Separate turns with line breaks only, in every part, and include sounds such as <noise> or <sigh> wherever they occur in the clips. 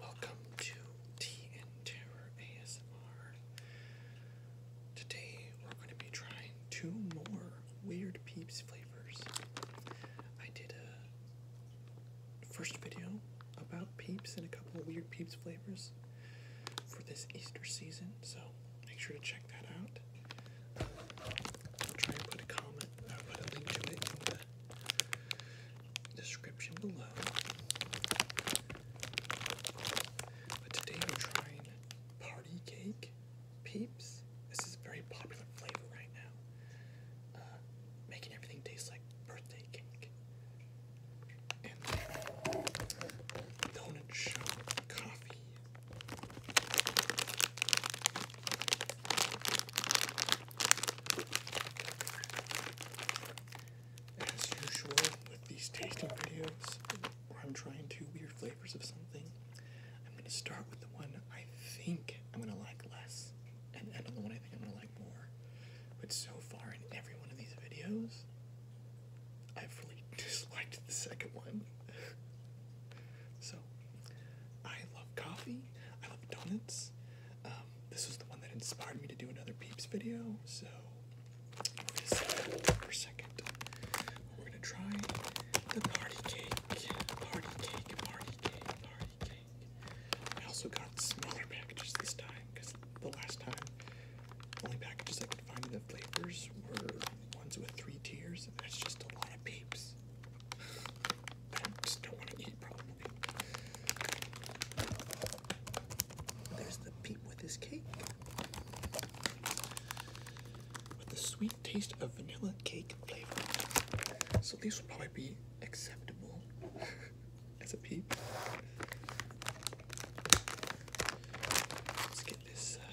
Welcome to Tea Terror ASMR. Today we're going to be trying two more Weird Peeps flavors. I did a first video about Peeps and a couple of Weird Peeps flavors for this Easter season, so make sure to check that out. try and put a comment, uh, put a link to it description below. But today we're trying party cake peeps. This is a very popular flavor right now. Uh, making everything taste like birthday cake. And donut shop coffee. As usual with these tasting videos, where I'm trying two weird flavors of something, I'm going to start with the one I think I'm going to like less, and end on the one I think I'm going to like more. But so far in every one of these videos, I've really <laughs> disliked the second one. <laughs> so, I love coffee, I love donuts. Um, this was the one that inspired me to do another Peeps video, so for second. We're gonna try the party cake, party cake, party cake, party cake. I also got smaller packages this time because the last time the only packages I could find in the flavors were ones with three tiers, and that's just a lot of peeps. There's the peep with his cake. With the sweet taste of vanilla cake flavor. So these will probably be acceptable <laughs> as a peep. Let's get this uh,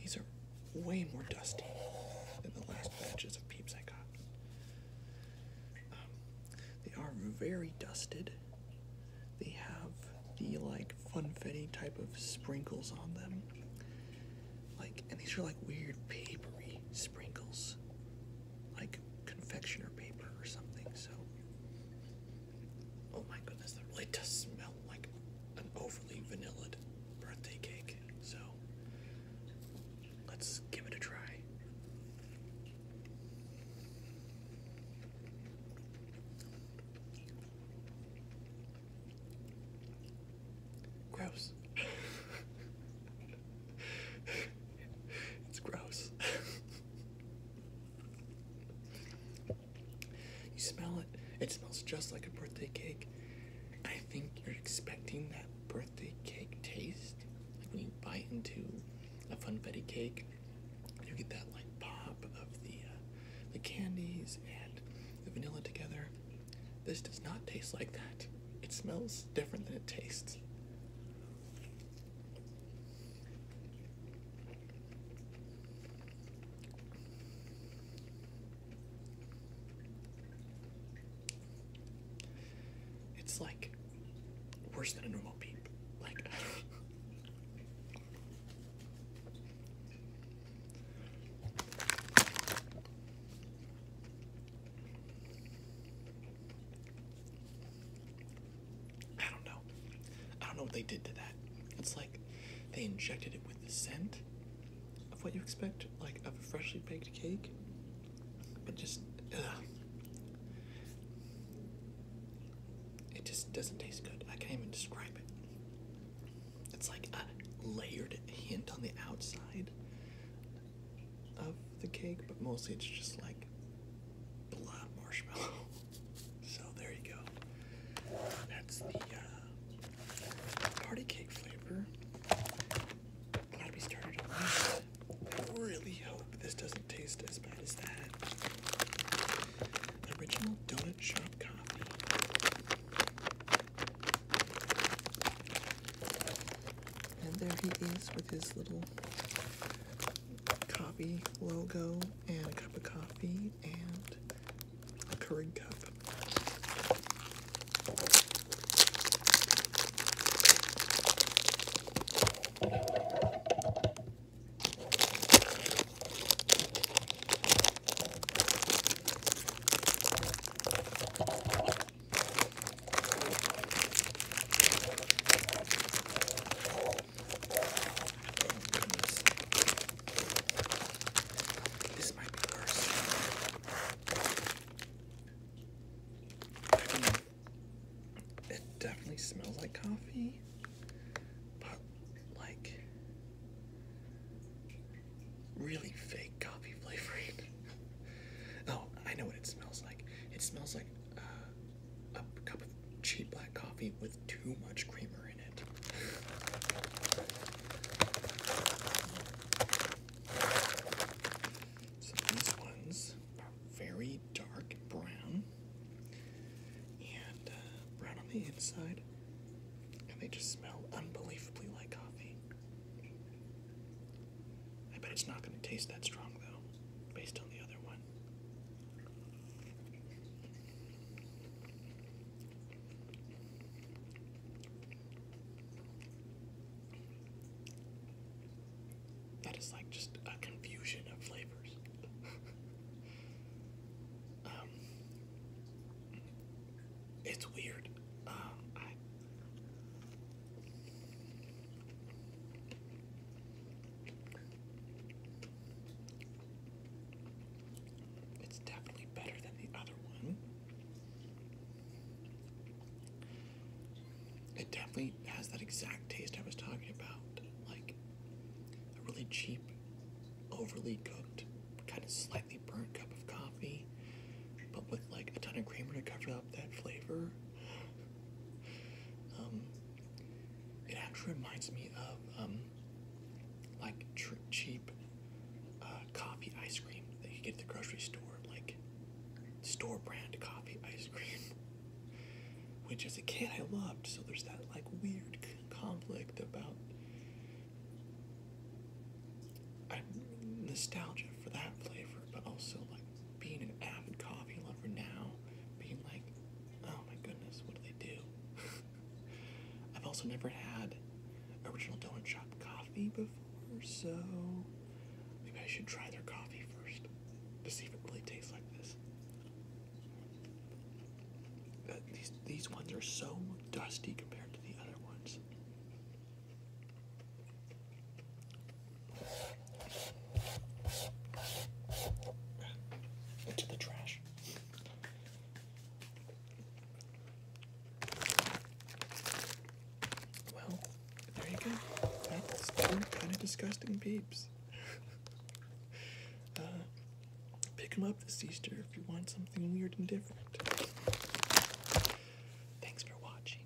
These are way more dusty than the last batches of peeps I got. Um, they are very dusted. They have the like funfetti type of sprinkles on them. Like, and these are like weird papery sprinkles, like confectioner paper or something. So, Oh my goodness, that really does smell like an overly vanillaed birthday cake. So let's give it a try. Gross. <laughs> it's gross. <laughs> You smell it, it smells just like a birthday cake. I think you're expecting that birthday cake taste. Like when you bite into a funfetti cake, you get that like pop of the uh, the candies and the vanilla together. This does not taste like that. It smells different than it tastes. It's like worse than a normal beep. Like I don't know. I don't know what they did to that. It's like they injected it with the scent of what you expect, like of a freshly baked cake, but just, It just doesn't taste good. I can't even describe it. It's like a layered hint on the outside of the cake, but mostly it's just like blob marshmallow. <laughs> So there you go. That's the uh, party cake flavor. Glad we started I really hope this doesn't taste as bad as that. Original donut shop coffee. And there he is with his little coffee logo and a cup of coffee and a Keurig cup. This might be worse. it definitely smells like coffee, but like really fake coffee flavoring. <laughs> oh, I know what it smells like. It smells like uh, a cup of cheap black coffee with too much creamer in it. So these ones are very dark brown and uh, brown on the inside, and they just smell unbelievably like coffee. I bet it's not going to taste that strong though, based on the other one. That is like just a confusion of flavors. <laughs> Um, it's weird. Um, it's definitely better than the other one. It definitely has that exact taste I was talking about. Like a really cheap, overly cooked, kind of slightly burnt cup of coffee, but with like a ton of creamer to cover up that flavor. Um, it actually reminds me of um, like cheap uh, coffee ice cream that you get at the grocery store, like store brand coffee ice cream, <laughs> which as a kid I loved. So there's that like weird conflict about nostalgia for that flavor, but also like being an avid coffee lover now, being like, oh my goodness, what do they do? <laughs> I've also never had original doughnut shop coffee before, so maybe I should try their coffee first to see if it really tastes like this. these these ones are so dusty compared to the other ones. Into the trash. Well, there you go. kind of disgusting peeps. <laughs> Uh, pick them up this Easter if you want something weird and different. Thanks for watching.